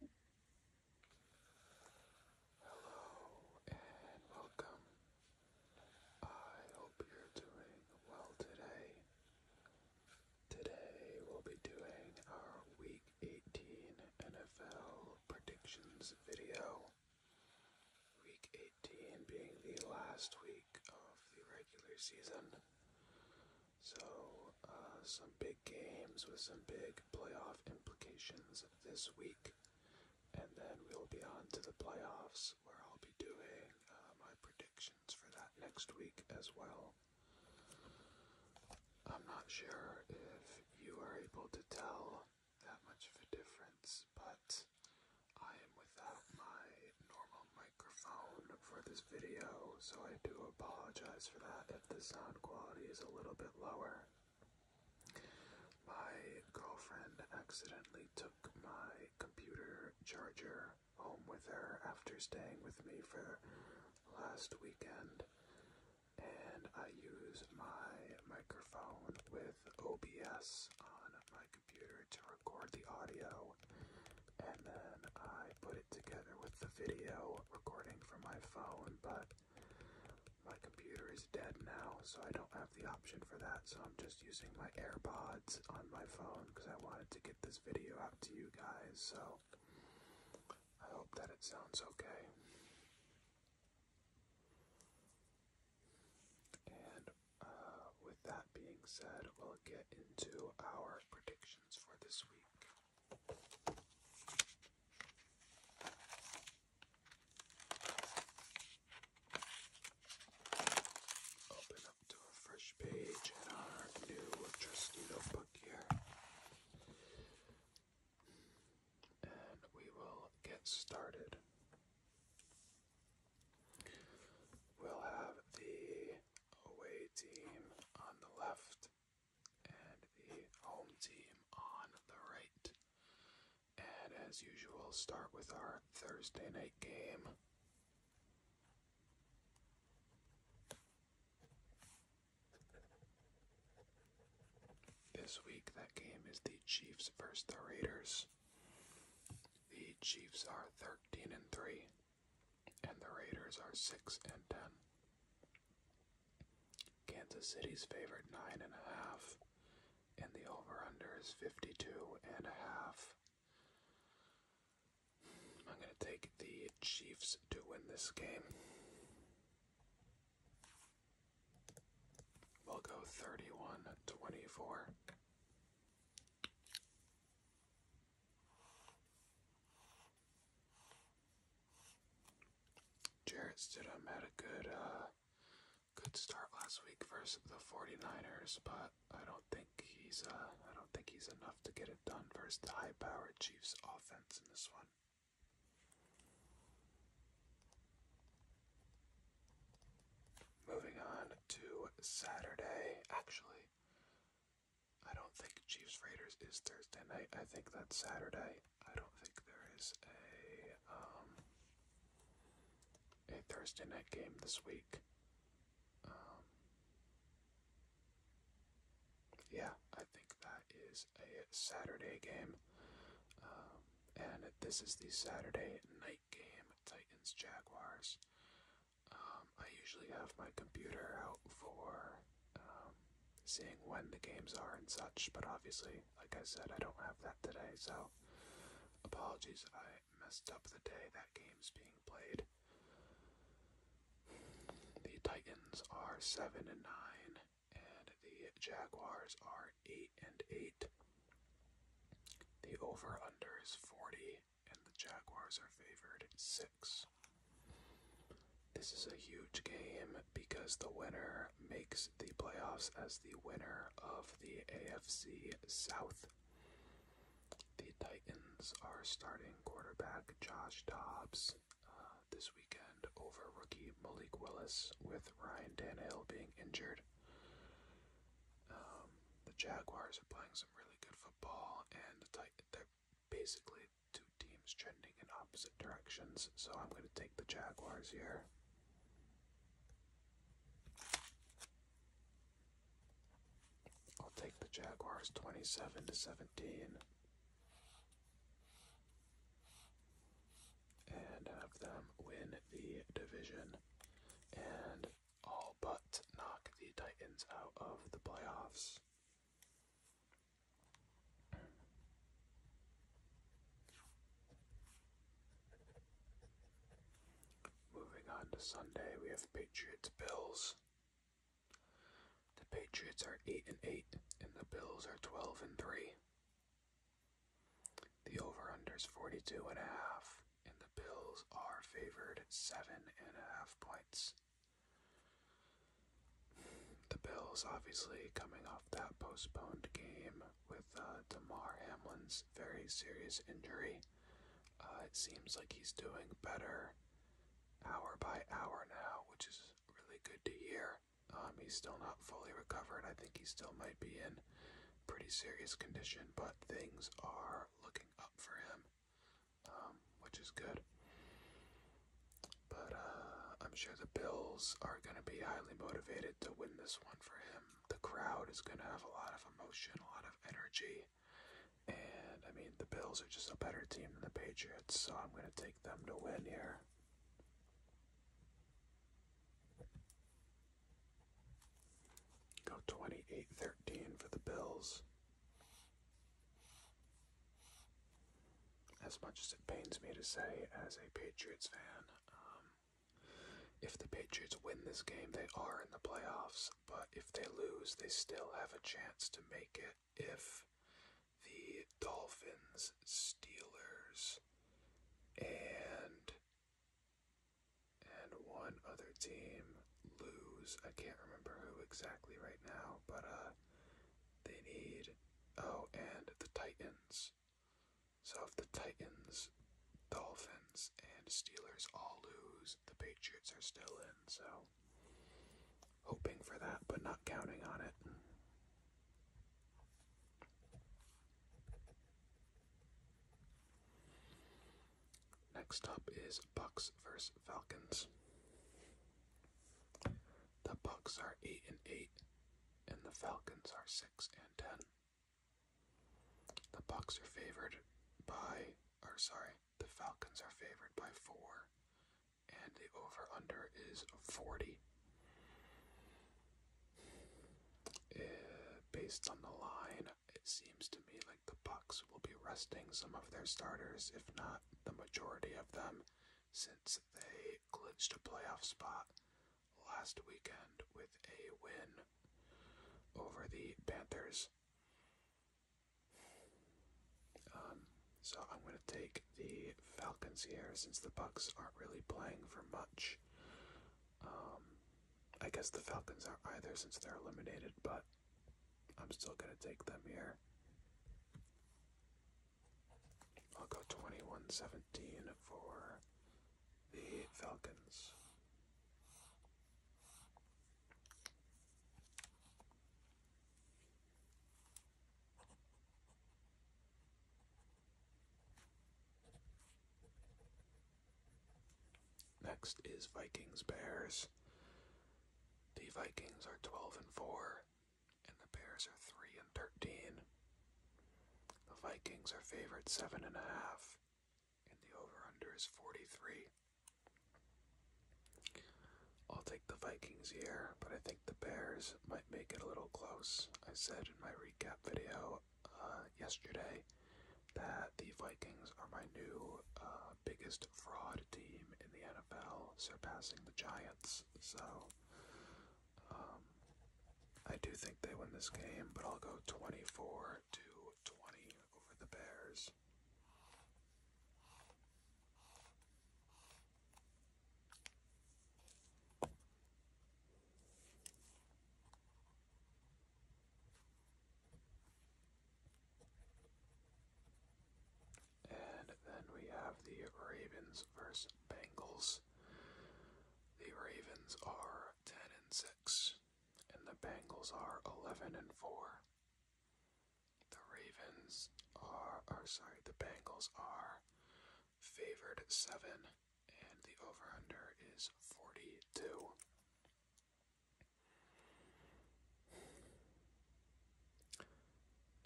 Hello and welcome. I hope you're doing well today. Today we'll be doing our Week 18 NFL predictions video. Week 18 being the last week of the regular season. So uh, some big games with some big playoff implications this week. And then we'll be on to the playoffs where I'll be doing uh, my predictions for that next week as well. I'm not sure if you are able to tell that much of a difference, but I am without my normal microphone for this video, so I do apologize for that the sound quality is a little bit lower. My girlfriend accidentally took my computer charger home with her after staying with me for last weekend, and I use my microphone with OBS on my computer to record the audio, and then I put it together with the video recording from my phone, but my computer is dead now, so I don't have the option for that, so I'm just using my AirPods on my phone because I wanted to get this video out to you guys, so I hope that it sounds okay. And uh, with that being said, we'll get into our predictions for this week. Open up to a fresh page in our new trusty notebook here. And we will get started. We'll have the away team on the left and the home team on the right. And as usual, start with our Thursday night game. This week, that game is the Chiefs versus the Raiders. The Chiefs are 13 and 3, and the Raiders are 6 and 10. Kansas City's favorite nine and a half, and the over/under is 52 and a half. I'm going to take the Chiefs to win this game. We'll go 31-24. Jarrett Stidham had a good uh, good start last week versus the 49ers, but I don't think he's uh, I don't think he's enough to get it done versus the high-powered Chiefs offense in this one. Moving on to Saturday. Actually, I don't think Chiefs Raiders is Thursday night. I think that's Saturday. I don't think there is a um, a Thursday night game this week. Um, yeah, I think that is a Saturday game, um, and this is the Saturday night game, Titans Jaguars. Um, I usually have my computer out for um, seeing when the games are and such. But obviously, like I said, I don't have that today, so apologies. I messed up the day that game's being played. The Titans are seven and nine, and the Jaguars are eight and eight. The over under is 40, and the Jaguars are favored 6. This is a huge game because the winner makes the playoffs as the winner of the AFC South. The Titans are starting quarterback Josh Dobbs uh, this weekend over rookie Malik Willis, with Ryan Dan Tannehill being injured. Um, the Jaguars are playing some really good football, and the Titans, they're basically two teams trending in opposite directions, so I'm going to take the Jaguars here. I'll take the Jaguars 27 to 17 and have them win the division and all but knock the Titans out of the playoffs. Moving on to Sunday, we have Patriots Bills. The Patriots are 8 and 8 and the Bills are 12 and 3. The over/under is 42 and a half and the Bills are favored 7 and a half points the Bills obviously coming off that postponed game with Tamar uh, Hamlin's very serious injury. Uh, it seems like he's doing better hour by hour now, which is really good to hear. Um, he's still not fully recovered. I think he still might be in pretty serious condition, but things are looking up for him, um, which is good. But uh, I'm sure the Bills are going to be highly motivated to win this one for him. The crowd is going to have a lot of emotion, a lot of energy. And I mean, the Bills are just a better team than the Patriots, so I'm going to take them to win here. Go 28 for the Bills as much as it pains me to say, as a Patriots fan, um, if the Patriots win this game, they are in the playoffs. But if they lose, they still have a chance to make it if the Dolphins, Steelers, and and one other team lose. I can't remember who exactly right now, but uh, they need. Oh, and the Titans so if the Titans, Dolphins, and Steelers all lose, the Patriots are still in. So hoping for that, but not counting on it. Next up is Bucks versus Falcons. The Bucks are 8 and 8 and the Falcons are 6 and 10. The Bucks are favored by or sorry, the Falcons are favored by 4 and the over under is 40. Eh, based on the line, it seems to me like the Bucks will be resting some of their starters, if not the majority of them, since they they clinched a playoff spot last weekend with a win over the Panthers. Um, so I'm going to take the Falcons here since the Bucks aren't really playing for much. Um, I guess the Falcons aren't either since they're eliminated, but I'm still going to take them here. I'll go 2117 for the Falcons. Next is Vikings Bears. The Vikings are 12 and 4 and the Bears are three and thirteen. The Vikings are favored seven and a half, and the over/under is forty-three. I'll take the Vikings here, but I think the Bears might make it a little close. I said in my recap video uh, yesterday that the Vikings are my new uh, biggest fraud team in the NFL, surpassing the Giants. So um, I do think they win this game, but I'll go 24 to 20 over the Bears. And then we have the Ravens versus Bengals. The Ravens are 10 and 6, and the Bengals are 11 and 4. The Ravens are, or sorry, the Bengals are favored 7, and the over under is 42.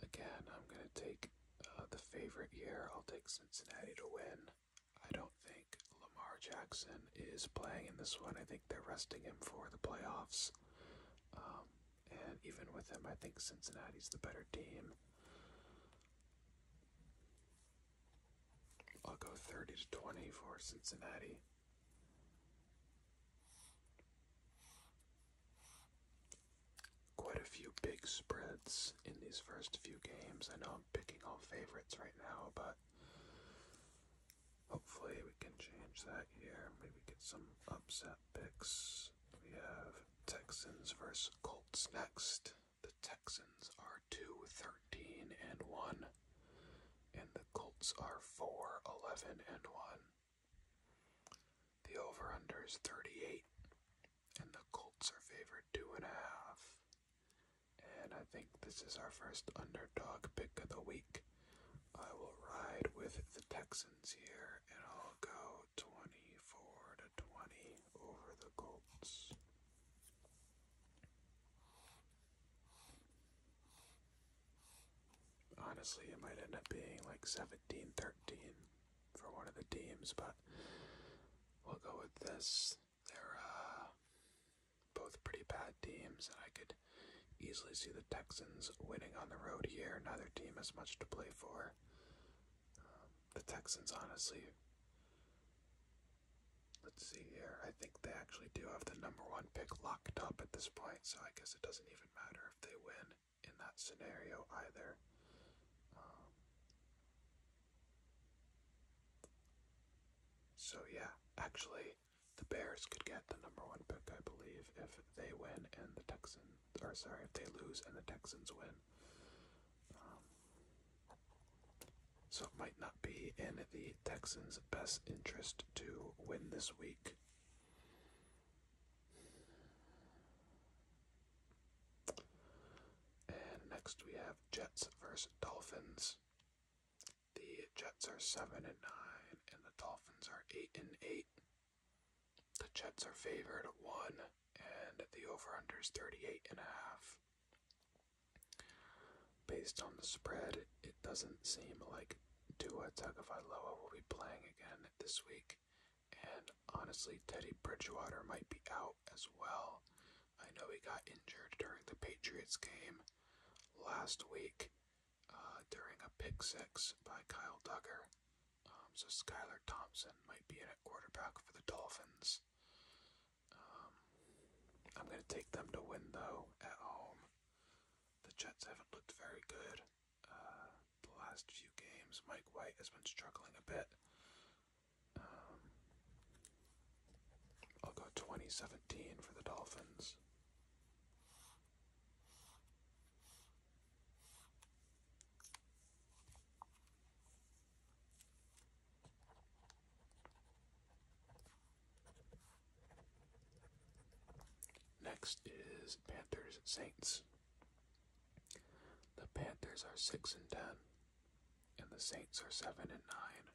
Again, I'm going to take uh, the favorite here. I'll take Cincinnati to win. I don't think Lamar Jackson is playing in this one. I think they're resting him for the playoffs. Um, and even with him, I think Cincinnati's the better team. I'll go 30 to 20 for Cincinnati quite a few big spreads in these first few games. I know I'm picking all favorites right now, but hopefully we can change that here. Maybe get some upset picks. We have Texans versus Colts next. The Texans are 2 13 and 1, and the Colts are 4 11 and 1. The over under is 38 and the Colts are favored two and a half. And I think this is our first underdog pick of the week. I will ride with the Texans here, and I'll go 24 to 20 over the Colts. Honestly, it might end up being like 17 13 for one of the teams, but we'll go with this. They're uh, both pretty bad teams, and I could easily see the Texans winning on the road here. Neither team has much to play for. Um, the Texans, honestly, let's see here. I think they actually do have the number one pick locked up at this point, so I guess it doesn't even matter if they win in that scenario either. Um, so yeah, actually, the Bears could get the number one pick, I believe, if they win and the Texans, or sorry, if they lose and the Texans win. Um, so it might not be in the Texans' best interest to win this week. And next we have Jets versus Dolphins. The Jets are seven and nine, and the Dolphins are eight and eight. The Jets are favored one, and the over/under is thirty-eight and a half. Based on the spread, it doesn't seem like Dua Tua Loa will be playing again this week, and honestly, Teddy Bridgewater might be out as well. I know he got injured during the Patriots game last week uh, during a pick six by Kyle Duggar. Um, so Skylar Thompson might be in at quarterback for the Dolphins. Um, I'm going to take them to win, though, at home. The Jets haven't looked very good uh, the last few games. Mike White has been struggling a bit. Um, I'll go 2017 for the Dolphins. Next is Panthers Saints. The Panthers are 6 and 10 and the Saints are 7 and 9.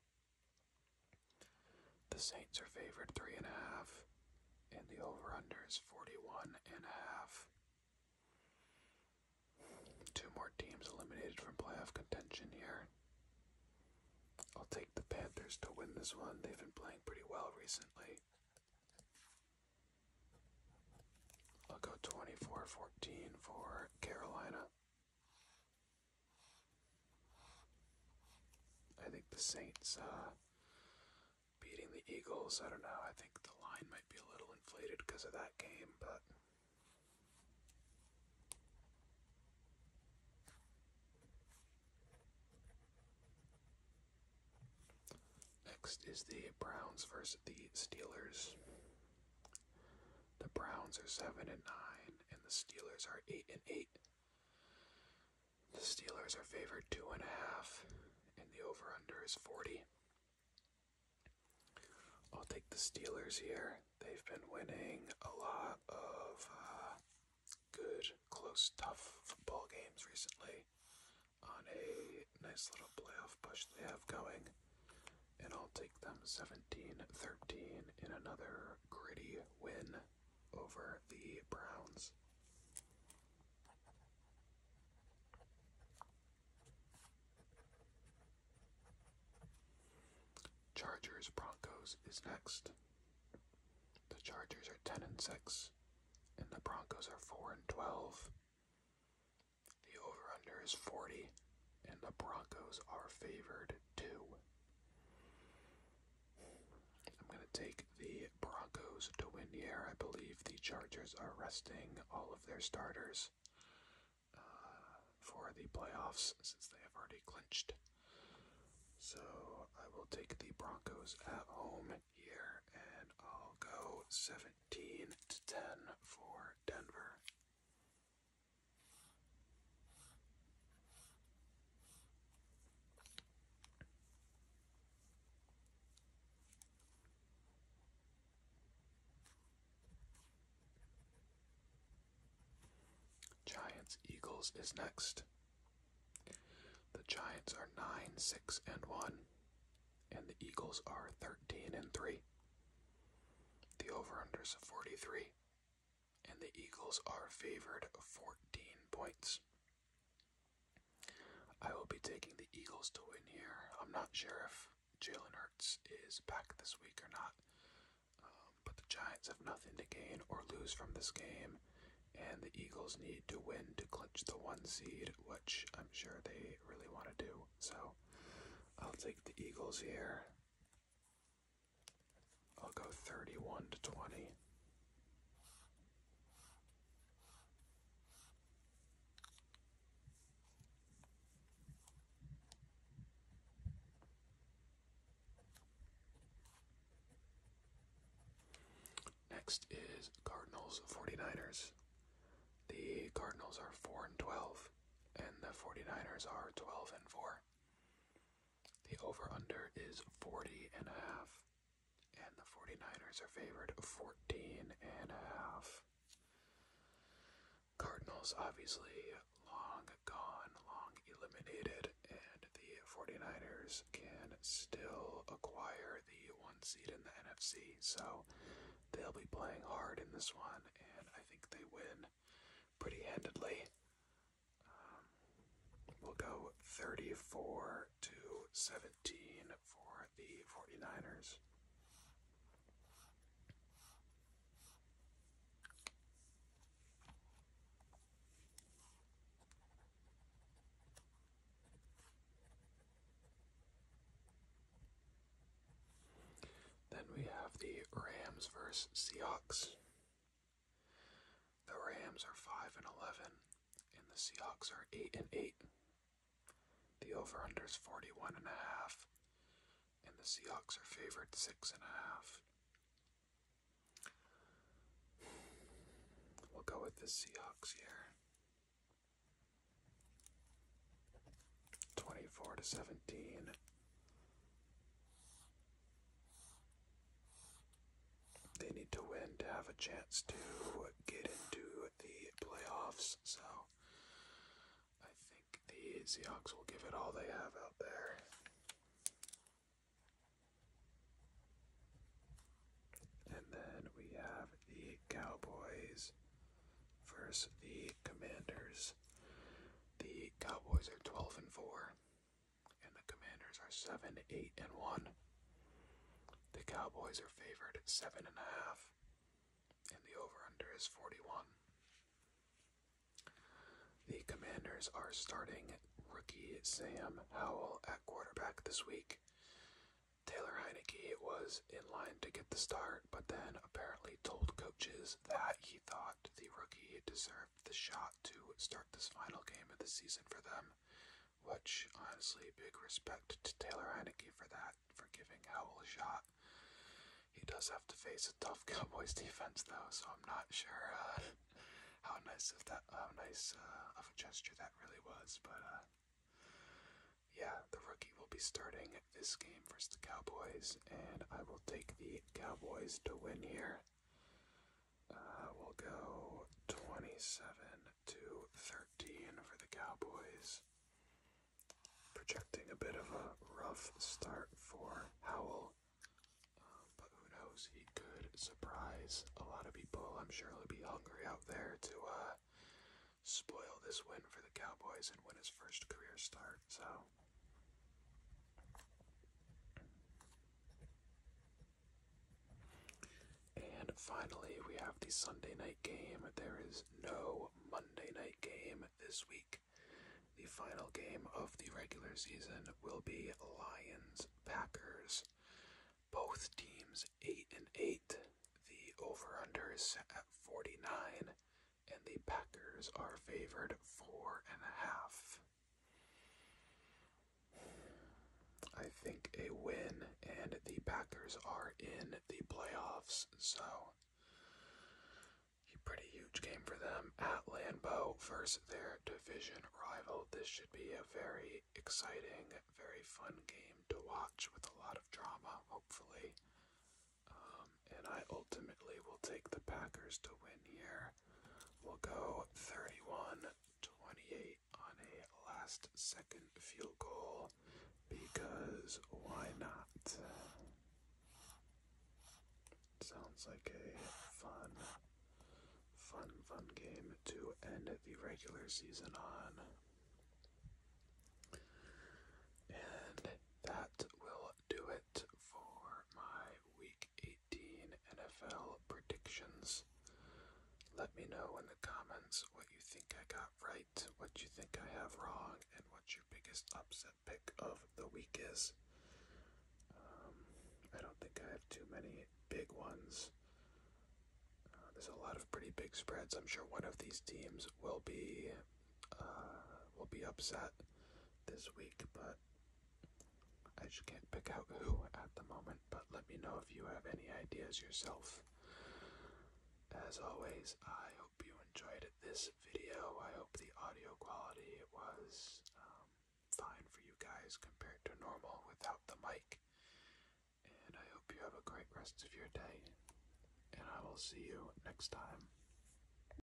The Saints are favored 3.5, and, the over under is 41.5. Two more teams eliminated from playoff contention here. I'll take the Panthers to win this one. They've been playing pretty well recently. I'll go 24 14 for Carolina. I think the Saints uh, beating the Eagles. I don't know. I think the line might be a little inflated because of that game, but. Next is the Browns versus the Steelers. The Browns are seven and nine, and the Steelers are eight and eight. The Steelers are favored two and a half, and the over under is 40. I'll take the Steelers here. They've been winning a lot of uh, good, close, tough football games recently on a nice little playoff push they have going and I'll take them 17 13 in another gritty win over the Browns. Chargers Broncos is next. The Chargers are 10 and 6 and the Broncos are 4 and 12. The over under is 40, and the Broncos are favored too. I'm going to take the Broncos to win here. I believe the Chargers are resting all of their starters uh, for the playoffs since they have already clinched. So I will take the Broncos at home here, and I'll go 17 to 10 for Denver. Giants Eagles is next. The Giants are 9, 6, and 1, and the Eagles are 13 and 3. The over-under is 43, and the Eagles are favored 14 points. I will be taking the Eagles to win here. I'm not sure if Jalen Hurts is back this week or not, um, but the Giants have nothing to gain or lose from this game, and the Eagles need to win to clinch the one seed, which I'm sure they really want to do. So I'll take the Eagles here. I'll go 31 to 20. Next is Cardinals 49ers. The Cardinals are 4 and 12 and the 49ers are 12 and 4. The over under is 40 and a half, and the 49ers are favored 14 and a half. Cardinals obviously long gone, long eliminated, and the 49ers can still acquire the one seed in the NFC. So they'll be playing hard in this one, and I think they win pretty handedly. Um, we'll go 34 to 17 for the 49ers. Then we have the Rams versus Seahawks. The Rams are 5 and 11 and the Seahawks are 8 and 8. The over/under is 41 and a half and the Seahawks are favored 6 and a half. We'll go with the Seahawks here. 24 to 17. They need to win to have a chance to get into the playoffs. So I think the Seahawks will give it all they have out there. And then we have the Cowboys versus the Commanders. The Cowboys are 12 and 4, and the Commanders are 7, 8, and 1. The Cowboys are favored at 7.5, and, and the over under is 41. The Commanders are starting rookie Sam Howell at quarterback this week. Taylor Heineke was in line to get the start, but then apparently told coaches that he thought the rookie deserved the shot to start this final game of the season for them, which honestly, big respect to Taylor Heineke for that, for giving Howell a shot. He does have to face a tough Cowboys defense though, so I'm not sure uh, how nice uh, of a gesture that really was. But uh, yeah, the rookie will be starting this game versus the Cowboys, and I will take the Cowboys to win here. Uh, we'll go 27 to 13 for the Cowboys. Projecting a bit of a rough start for Howell, um, but who knows? He could surprise a lot of people. I'm sure he'll be hungry out there to uh, spoil this win for the Cowboys and win his first career start. So and finally, we have the Sunday night game. There is no Monday night game this week. The final game of the regular season will be Lions Packers. Both teams 8 and 8. The over under is at 49 and the Packers are favored four and a half. I think a win, and the Packers are in the playoffs, so a pretty huge game for them at Lambeau versus their division rival. This should be a very exciting, very fun game to watch with a lot of drama, hopefully. Um, and I ultimately will take the Packers to win here. We'll go 31 28 on a last second field goal because why not? Sounds like a fun, fun, fun game to end the regular season on. And that will do it for my Week 18 NFL predictions. Let me know in the comments what you think I got right, what you think I have wrong, and what your biggest upset pick of the week is. Um, I don't think I have too many big ones. Uh, there's a lot of pretty big spreads. I'm sure one of these teams will be uh, will be upset this week, but I just can't pick out who at the moment. But let me know if you have any ideas yourself. As always, I hope you enjoyed this video. I hope the audio quality was um, fine for you guys compared to normal without the mic. And I hope you have a great rest of your day. And I will see you next time.